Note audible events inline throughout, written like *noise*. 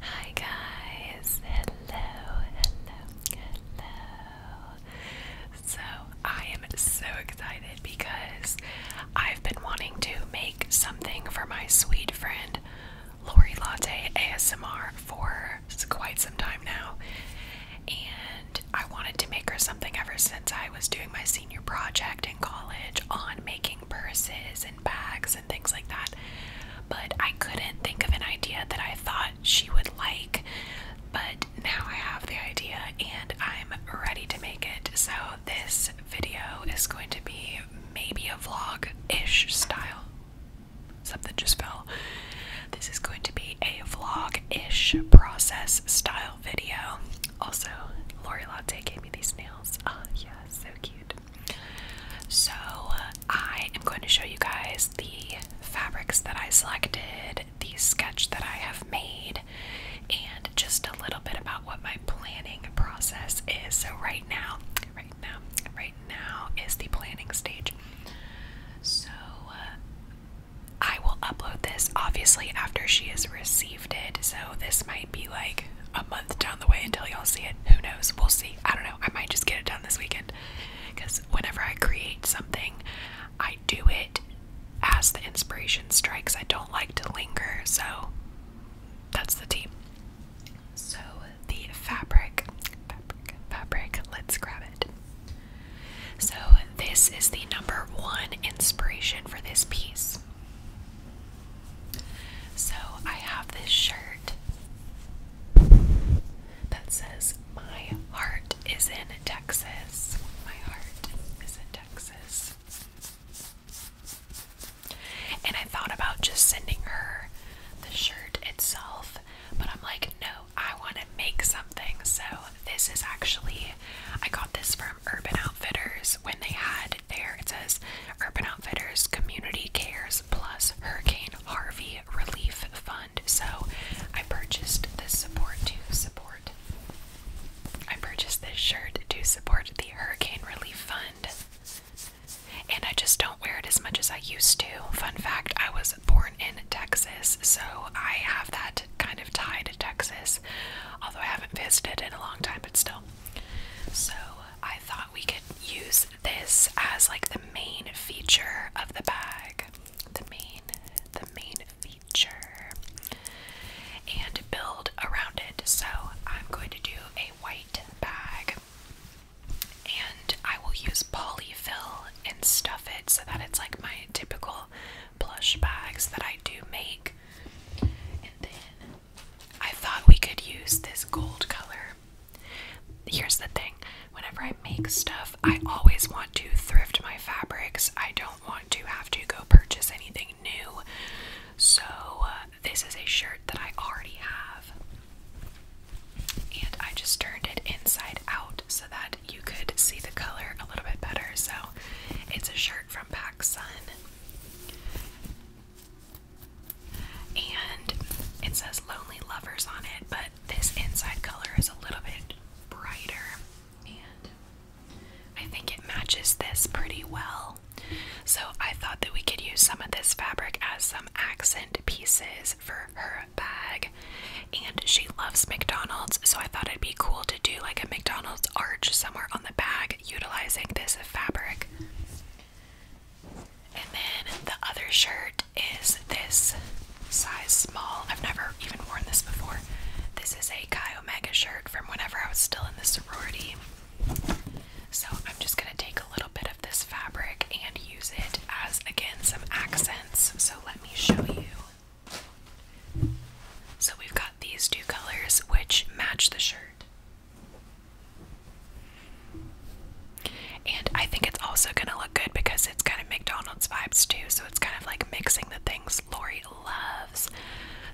Hi guys, hello, hello, hello. So, I am so excited because I've been wanting to make something for my sweet friend Lori Latte ASMR for quite some time now. And I wanted to make her something ever since I was doing my senior project in college on making purses and bags things like that. But I couldn't think of an idea that I thought she would like. But now I have the idea and I'm ready to make it. So this video is going to be maybe a vlog ish style. Something just fell. This is going to be a vlog ish process style video. Also, Lori Latte gave me these nails. Oh, ah, yeah, so cute. So uh, I am going to show you guys the fabrics that I selected, the sketch that I have made, and just a little bit about what my planning process is. So right now, right now, right now is the planning stage. So uh, I will upload this obviously after she has received it. So this might be like a month down the way until y'all see it. Who knows? We'll see. I don't know. I might just get it done this weekend because whenever I create something, I do it as the inspiration strikes. I don't like to linger, so that's the tea. So, the fabric, fabric, fabric, let's grab it. So, this is the number one inspiration for this piece. So I have this shirt that says, My heart is in Texas. My heart is in Texas. And I thought about just sending her the shirt itself, but I'm like, no, I want to make something. So this is actually, I got this from Urban Outfitters when they had their, it says Urban Community Cares Plus Hurricane Harvey Relief Fund. So I purchased this support to support. I purchased this shirt to support the Hurricane Relief Fund. And I just don't wear it as much as I used to. Fun fact I was born in Texas, so I have that kind of tie to Texas. Although I haven't visited in a long time, but still. So I thought we could use this as like the main feature of the bag. The main the main feature. And build around it. So I'm going to do a white bag and I will use polyfill and stuff it so that it's like my typical plush bags that I do make. And then I thought we could use this gold color. Here's the thing whenever I make stuff, I always want to thrift my fabrics. I don't want to have to go purchase anything new. So, uh, this is a shirt that I already have. And I just turned it inside out so that you could see the color a little bit better. So, it's a shirt from Pac Sun. And it says Lonely Lovers on it, but this inside color is a little bit brighter. And I think it matches this pretty well. So I thought that we could use some of this fabric as some accent pieces for her bag. And she loves McDonald's, so I thought it'd be cool to do like a McDonald's arch somewhere on the bag utilizing this fabric. And then the other shirt is this size small. I've never even worn this before. This is a Chi Mega shirt from whenever I was still in the sorority. So I'm just going to take a little bit of this fabric and use it as, again, some accents. So let me show you. So we've got these two colors which match the shirt. And I think it's also gonna look good because it's kind of McDonald's vibes too, so it's kind of like mixing the things Lori loves.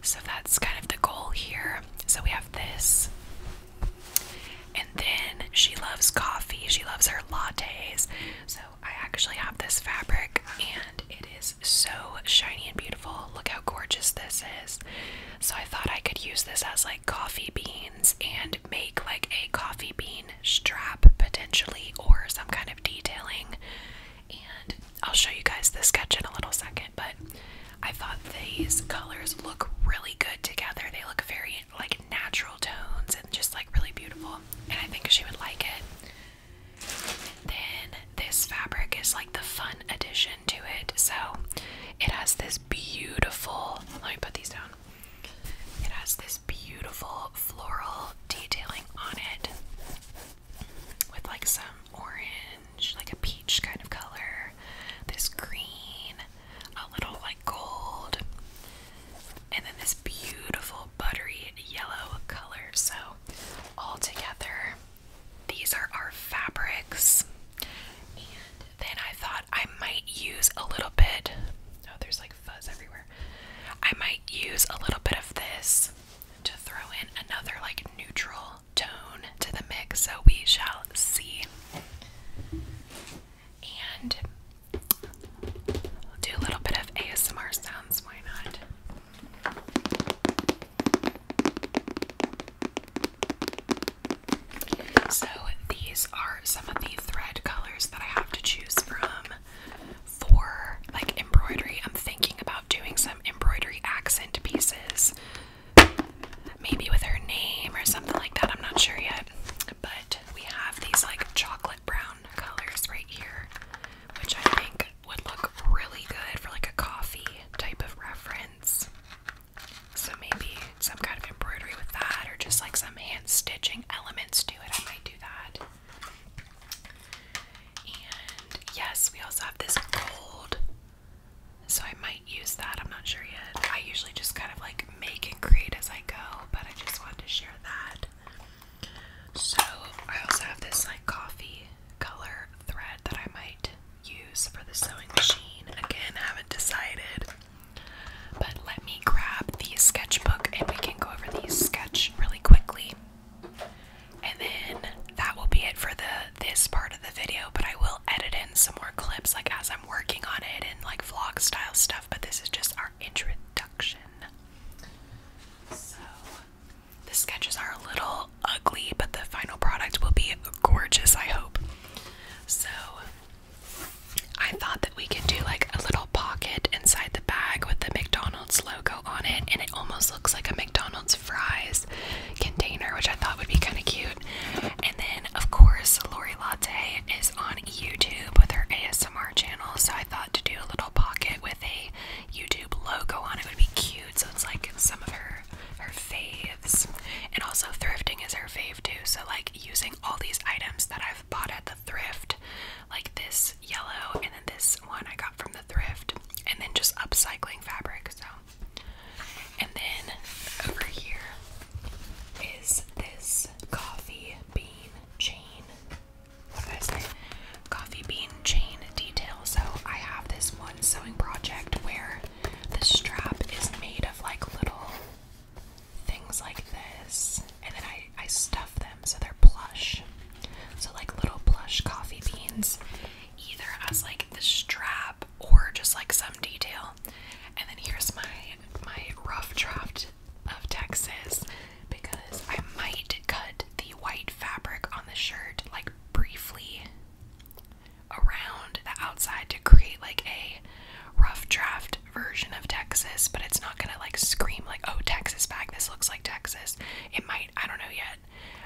So that's kind of the goal here. So we have this. And then she loves coffee, she loves her lattes. So I actually have this fabric and it is so shiny and beautiful. Look how gorgeous this is. So I thought I could use this as like coffee beans and make like a coffee bean strap potentially or some kind of detailing. And I'll show you guys the sketch in a little second, but I thought these colors look really good together. They look very like natural tones and just like really beautiful. And I think she would like it. then this fabric is like the fun addition to it. So it has this beautiful, let me put these down. It has this beautiful floral detailing on it with like some orange, like a peach kind of color, this green, a little like gold, and then this beautiful buttery yellow color. So, all together, these are our fabrics. Then I thought I might use a little bit. Oh, there's like fuzz everywhere. I might use a little bit of this to throw in another like neutral tone to the mix, so we shall see. And do a little bit of ASMR sounds, why not? So these are some of the thread colors that I have to choose from for like embroidery. I'm thinking about doing some embroidery accent pieces. Maybe with her name or something like that. I'm not sure yet. But we have these like chocolate brown colors right here, which I think would look really good for like a coffee type of reference. So maybe some kind of embroidery with that or just like some hand stitching elements to it. I might do that. And yes, we also have this gold. So I might use that. I'm not sure yet. I usually just kind of like make and create as I go, but I just wanted to share that. So I also have this like coffee color thread that I might use for the sewing machine. Again, haven't decided. But let me grab the sketchbook and we can go over these sketch really quickly. And then that will be it for the this part of the video, but I will edit in some more clips like as I'm working on it and like vlog style stuff, but this is just our introduction. So the sketches are a little ugly, but the final product will be gorgeous, I hope. So I thought that we could do like a little pocket inside the bag with the McDonald's logo on it, and it almost looks like a McDonald's fries container, which I thought would be kind of cute. And then, of course, Lori Latte is on YouTube with her ASMR channel, so I thought to do a little pocket with a YouTube logo on it would be cute. So it's like some of her her faves. And also thrifting is her fave too. So like using all these items that I've bought at the thrift, like this yellow and then this one I got from the thrift, and then just upcycling fabric. So and then over here is this coffee bean chain. What did I say? Coffee bean chain detail. So I have this one sewing project where the strap is made of like little things like this, and then I, I stuff them so they're plush. So, like little plush coffee beans, either as like the strap or just like some detail. And then here's my my rough draft of Texas because I might cut the white fabric on the shirt like briefly around the outside to create like a rough draft version of Texas, but it's not gonna like scream like, oh, Texas bag, this looks like Texas. It might, I don't know yet.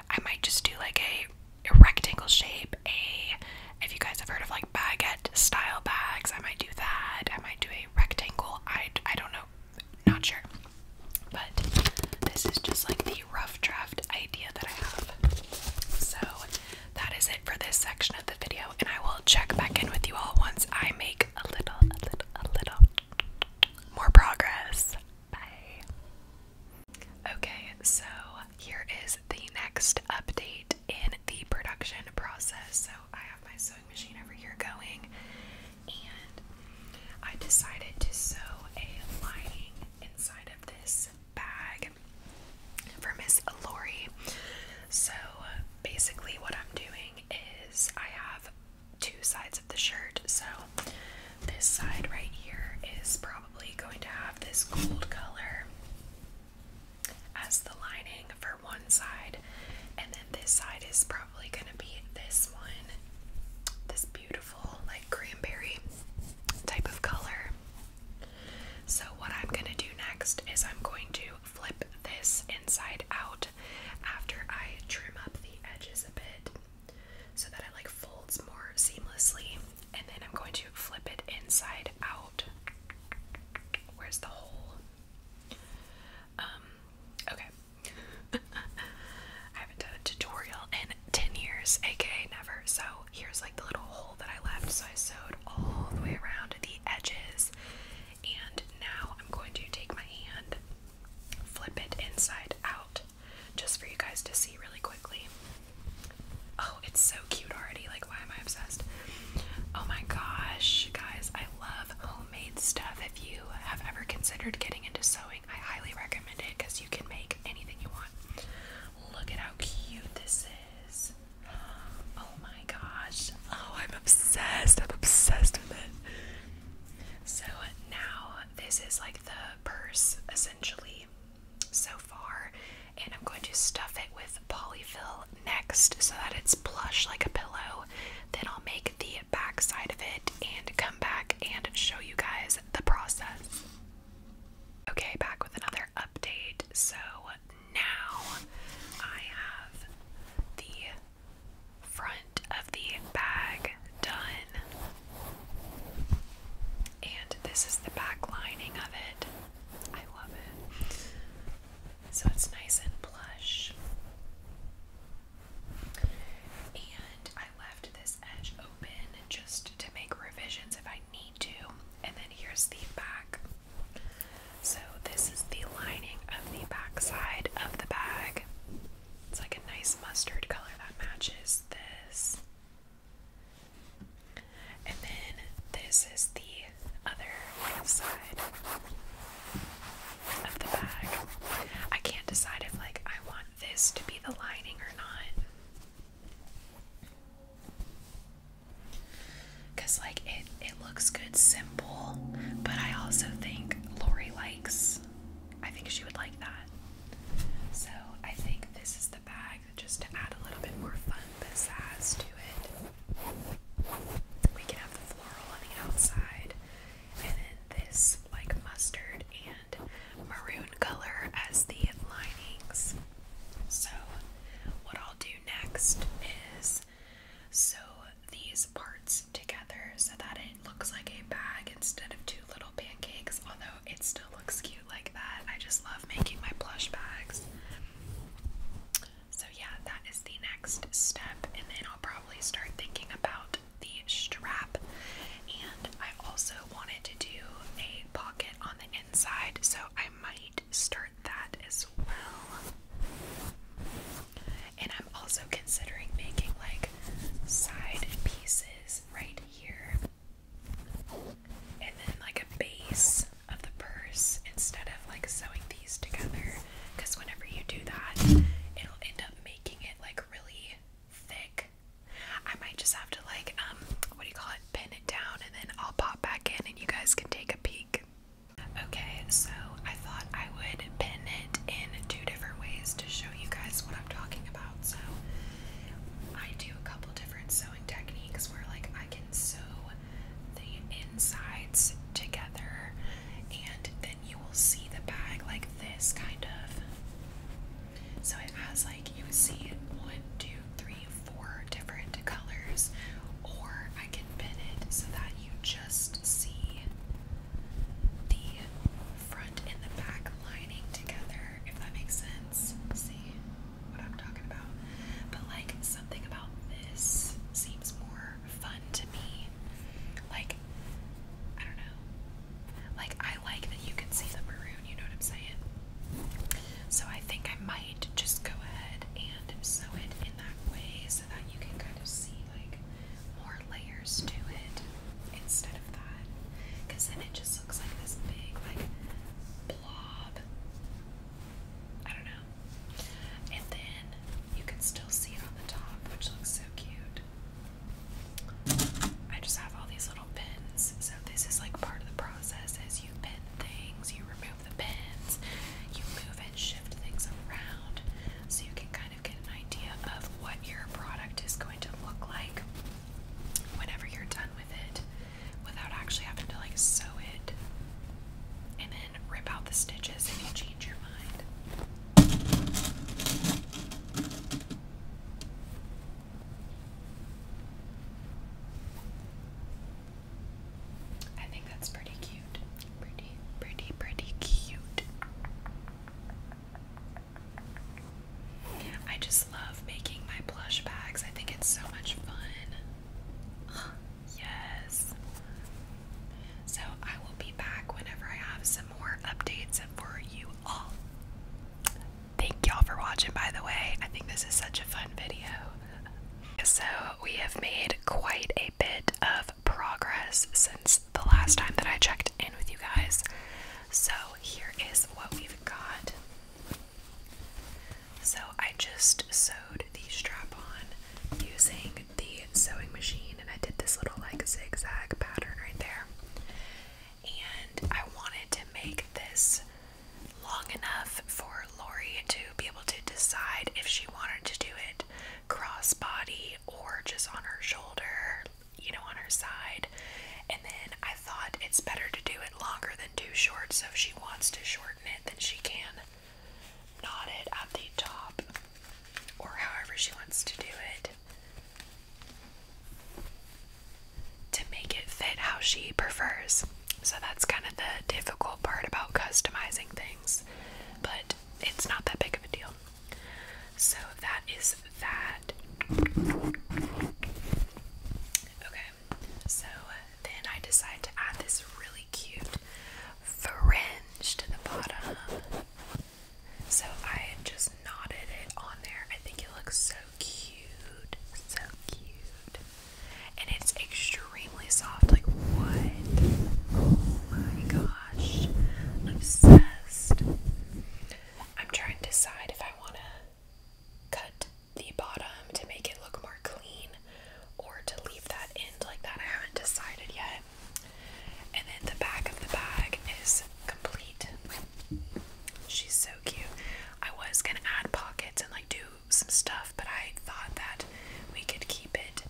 I might just do like a, rectangle shape, a if you guys have heard of like baguette style bags, I might do that. I might do a rectangle. I, I don't know. Not sure. But this is just like the rough draft idea that I have. So that is it for this section of the video, and I will check back in with you all once I make a little, a little, a little more progress. Bye. Okay, so here is the next update in the production process. So I have my sewing machine over here going, and I decided to sew a lining inside of this bag for Miss Lori. So basically, what I'm doing is I have two sides of the shirt. So this side right here is probably going to have this gold color as the lining for one side, and then this side is probably going to be this one, this beautiful, like cranberry type of color. So, what I'm going to do next is I'm going to flip this inside out after I trim up the edges a bit so that it like folds more seamlessly. And then I'm going to flip it inside out. Where's the hole? Um, okay. *laughs* I haven't done a tutorial 10 years, aka never. So here's like the little hole that I left. So I sewed all the way around the edges. And now I'm going to take my hand, flip it inside out, just for you guys to see really quickly. Oh, it's so cute already. Like, why am I obsessed? Oh my gosh, guys, I love homemade stuff. If you have ever considered getting into sewing, I highly recommend it because you can make anything you want. Look at how cute this is. Oh my gosh. Oh, I'm obsessed. I'm obsessed with it. So now this is like the purse essentially so far. And I'm going to stuff it with polyfill next so that it's plush like a pillow. Then I'll make the back side of it and come back and show you guys the process. Okay, back with another update. So now I have the front of the bag done. And this is the back lining of it. I love it. So it's nice and plush. And I left this edge open just to make revisions if I I need to. And then here's the back. So this is the lining of the back side of the bag. It's like a nice mustard color that matches this. And then this is the other side of the bag. I can't decide if like I want this to be the lining or not. Cause like it it looks good simple, but I also think Lori likes I think she would like that. So I think this is the bag just to add a little bit more fun pizzazz to it. We can have the floral on the outside and then this like mustard and maroon color as the linings. So, what I'll do next is sew these parts together so that it looks like a bag instead of two little pancakes, although it still looks cute like that. I just love making my plush bags. So, yeah, that is the next step, and then I'll probably start thinking about the strap. And I also wanted to do a pocket on the inside, so I might start that as well. And I'm also considering making like side pieces right here, and then like a base of the purse instead of like sewing these together. Because whenever you do that, it'll end up making it like really thick I might just have to like um what do you call it pin it down and then I'll pop back in and you guys can take a peek. Okay, so I thought I would pin it in two different ways to show you guys what I'm talking about. So I do a couple different sewing techniques where like I can sew the insides together and then you will see the bag like this kind of. So it has like you would see it one, two, three, four different colors, or I can pin it so that you just see the front and the back lining together, if that makes sense. See what I'm talking about? But like something about this seems more fun to me. Like, I don't know. Like, I like that you can see the maroon, you know what I'm saying? So I think I might just go ahead and sew it in that way so that you can kind of see like more layers to it instead of that. then it just looks like this big like blob. I don't know. And then you can still see it on the top, which looks so cute. I just have all these little so this is like part of the process as you pin things, you remove the pins, you move and shift things around so you can kind of get an idea of what your product is going to look like whenever you're done with it without actually having to like sew it and then rip out the stitches if you change your mind. I think that's pretty cute. Pretty, pretty, pretty cute. I just love making my plush bags. I think it's so much fun. *gasps* yes. So I will be back whenever I have some more updates for you all. Thank y'all for watching, by the way. I think this is such a fun video. So, we have made quite a bit of progress since the last time that I checked in with you guys. So, here is what we've got. So, I just sewed the strap on using the sewing machine, and I did this little like zigzag pattern right there and I wanted to make this long enough for Lori to be able to decide if she wanted to do it crossbody or just on her shoulder, you know, on her side. And then I thought it's better to do it longer than too short, so if she wants to shorten it, then she can knot it at the top or however she wants to do it to make it fit how she prefers. So that's kind of the difficult part about customizing things, but it's not that big of a deal. So that is that. Okay, so then I decided to add this really cute fringe to the bottom. So I just knotted it on there. I think it looks so cute, so cute. And it's extremely soft. Like, what? Oh my gosh. obsessed. I'm trying to decide if I want to cut the bottom to make it look more clean or to leave that end like that. I haven't decided yet. And then the back of the bag is complete. She's so cute. I was gonna add pockets and like do some stuff, but I thought that we could keep it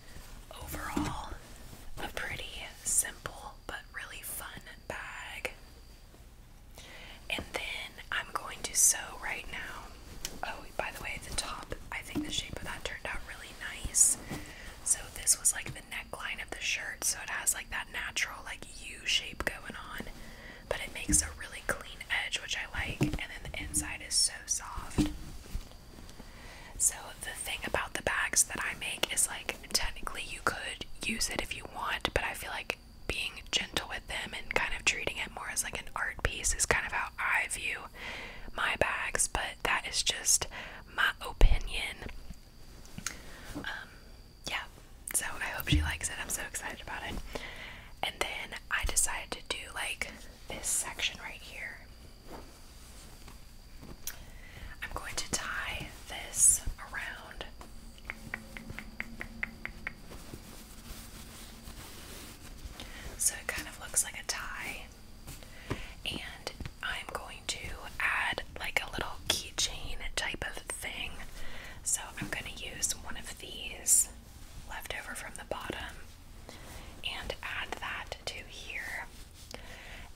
overall a pretty simple but really fun bag. And then I'm going to sew right now. Oh, by the way, the top, I think the shape of that turned out really nice. So this was like the neckline of the shirt, so it has like that natural like U shape going on but it makes a really clean edge, which I like, and then the inside is so soft. So, the thing about the bags that I make is like technically you could use it if you want, but I feel like being gentle with them and kind of treating it more as like an art piece is kind of how I view my bags, but that is just my opinion. Um, yeah, so I hope she likes it. I'm so excited about it. And then I decided to do like this section right here. I'm going to tie this around. So it kind of looks like a tie. And I'm going to add like a little keychain type of thing. So I'm going to use one of these left over from the bottom and add that to here.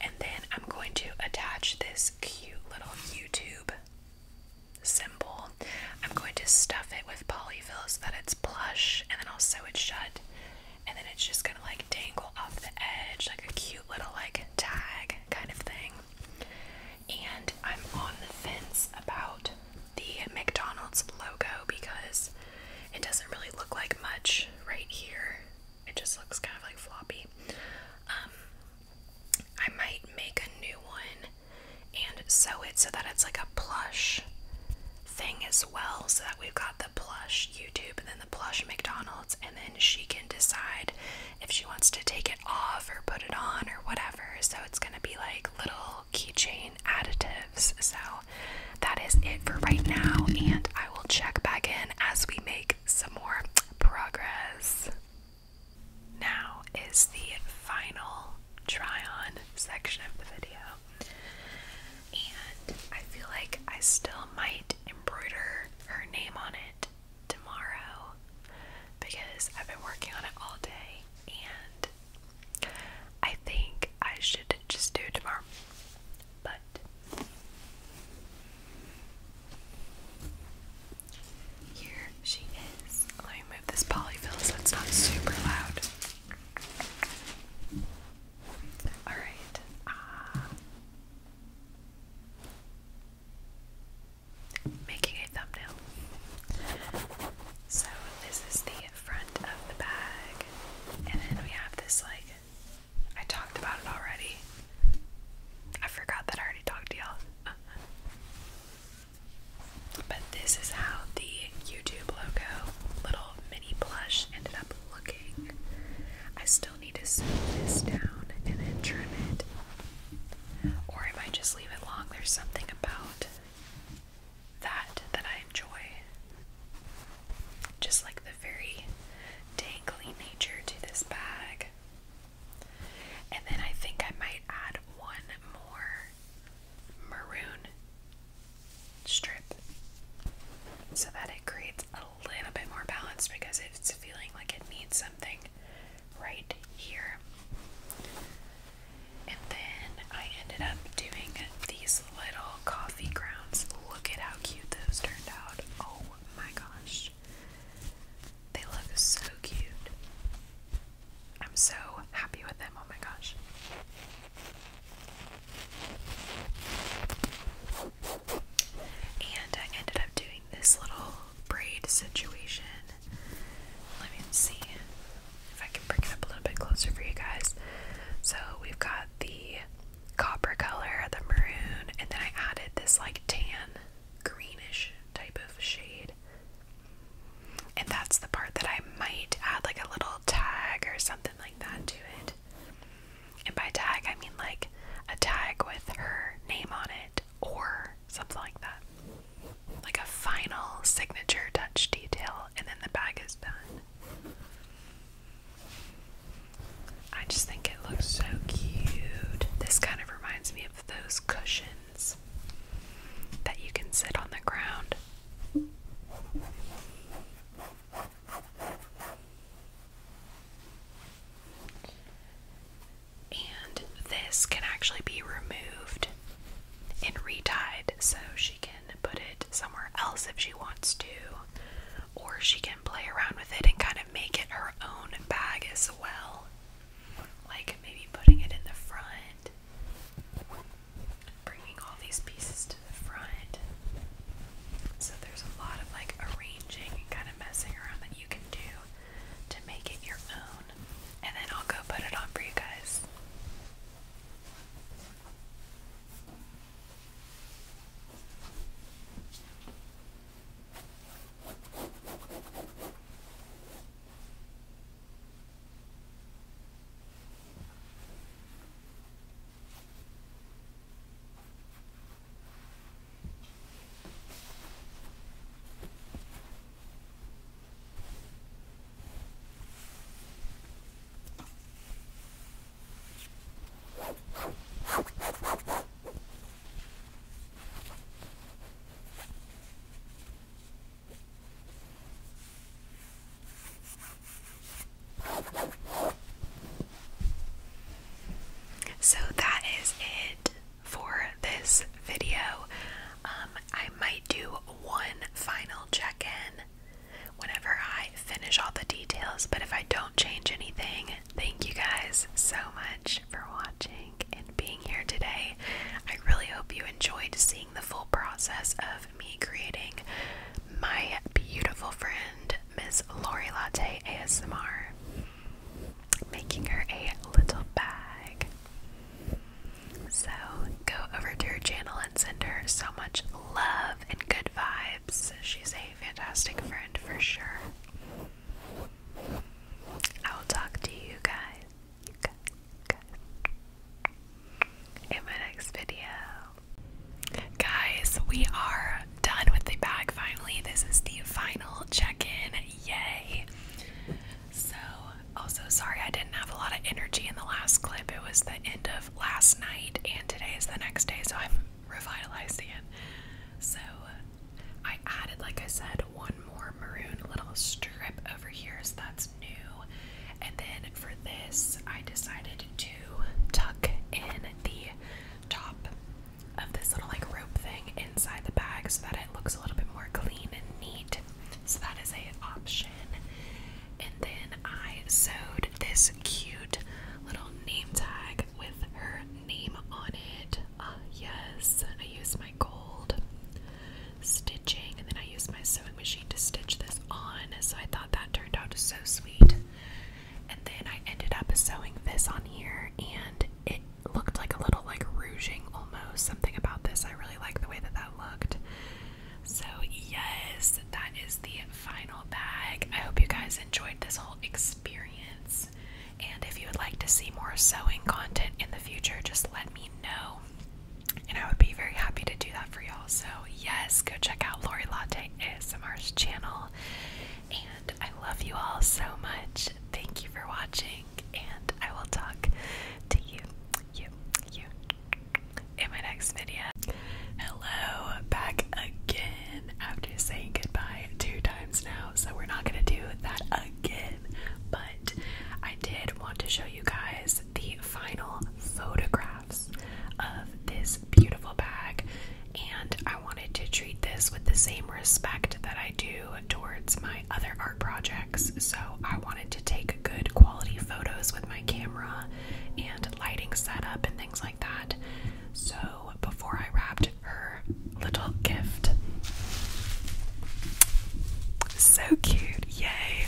And then I'm going to attach this cute little YouTube symbol. I'm going to stuff it with polyfill so that it's plush and then I'll sew it shut. And then it's just going to like dangle off the edge like a cute little like tag kind of thing. And I'm on the fence about the McDonald's logo because it doesn't really look like much right here. It just looks kind of like floppy. Um, I might make a new one and sew it so that it's like a plush thing as well, so that we've got the plush YouTube and then the plush McDonald's, and then she can decide if she wants to take it off or put it on or whatever. So it's going to be like little keychain additives. So that is it for right now, and I will check back in as we make some more progress. Now is the final try on section of the video, and I feel like I still might embroider her name on it tomorrow because I've been working on it all day and I think I should just do tomorrow. But here she is. Let me move this polyfill so it's not super loud. Alright. Uh, making a thumbnail. So this is the front of the bag, and then we have this like I talked about it already. I forgot that I already talked to y'all. Uh-huh. but this is how the YouTube logo, little mini plush, ended up looking. I still need to sew this down and then trim it or I might just leave it long. There's something about that that I enjoy. Just like the very dangly nature to this bag. And then I think I might add one more maroon strip so that it creates a little bit more balance because it's feeling like it needs something right here. And then I ended up doing these little coffee grounds. Look at how cute those turned out. Oh my gosh. They look so cute. I'm so happy with them. Oh my gosh. And I ended up doing this little braid situation. Let me see if I can bring it up a little bit closer for you guys. So we've got the copper color, the maroon, and then I added this like tan greenish type of shade. And that's the part that I might add like a little tag or something like that to it. And by tag, I mean like a tag with her name on it or something like that like a final signature touch detail, and then the bag is done. I just think it looks so cute. This kind of reminds me of those cushions that you can sit on the ground and this can actually be removed and retied so she can put it somewhere else if she wants to or she can play around with it and kind of make it her own bag as well like maybe putting it in the front bringing all these pieces to the front so there's a lot of like arranging and kind of messing around that you can do to make it your own and then I'll go put it on for you guys. So that is it for this video. Um, I might do one final check in whenever I finish all the details, but if I don't change anything, thank you guys so much for watching and being here today. I really hope you enjoyed seeing the full process of me creating my beautiful friend, Miss Lori Latte ASMR making her a little bag. So go over to her channel and send her so much love and good vibes. She's a fantastic friend for sure. I will talk to you guys, you guys in my next video. Guys, we are done with the bag finally. This is the final check-in. Yay! So, also, sorry I didn't have a lot of energy in the last clip. It was the end of last night, and today is the next day, so I'm revitalizing it. So, I added, like I said, one more maroon little strip over here, so that's new. And then for this, I decided to tuck in the top of this little like thing inside the bag so that it looks a little bit more clean and neat. So that is a option. And then I sewed this cute little name tag with her name on it. Uh, yes, I used my gold stitching and then I used my sewing machine to stitch this on. So I thought that turned out so sweet. And then I ended up sewing this on here and it looked like a little like rouging almost. Something about this, I really like the way that that looked. So, yes, that is the final bag. I hope you guys enjoyed this whole experience. And if you would like to see more sewing content in the future, just let me know. And I would be very happy to do that for y'all. So, yes, go check out Lori Latte ASMR's channel. And I love you all so much. Thank you for watching and I will talk to you, you, you in my next video. Hello, back again after saying goodbye two times now, so we're not gonna do that again, but I did want to show you guys the final photographs of this beautiful bag, and I wanted to treat this with the same respect that I do towards my other art projects, so I wanted to take good quality photos with my camera and lighting setup and things like that. So before I wrapped her little gift, so cute, yay!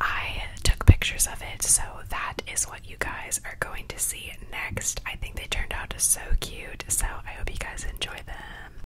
I took pictures of it, so that is what you guys are going to see next. I think they turned out so cute, so I hope you guys enjoy them.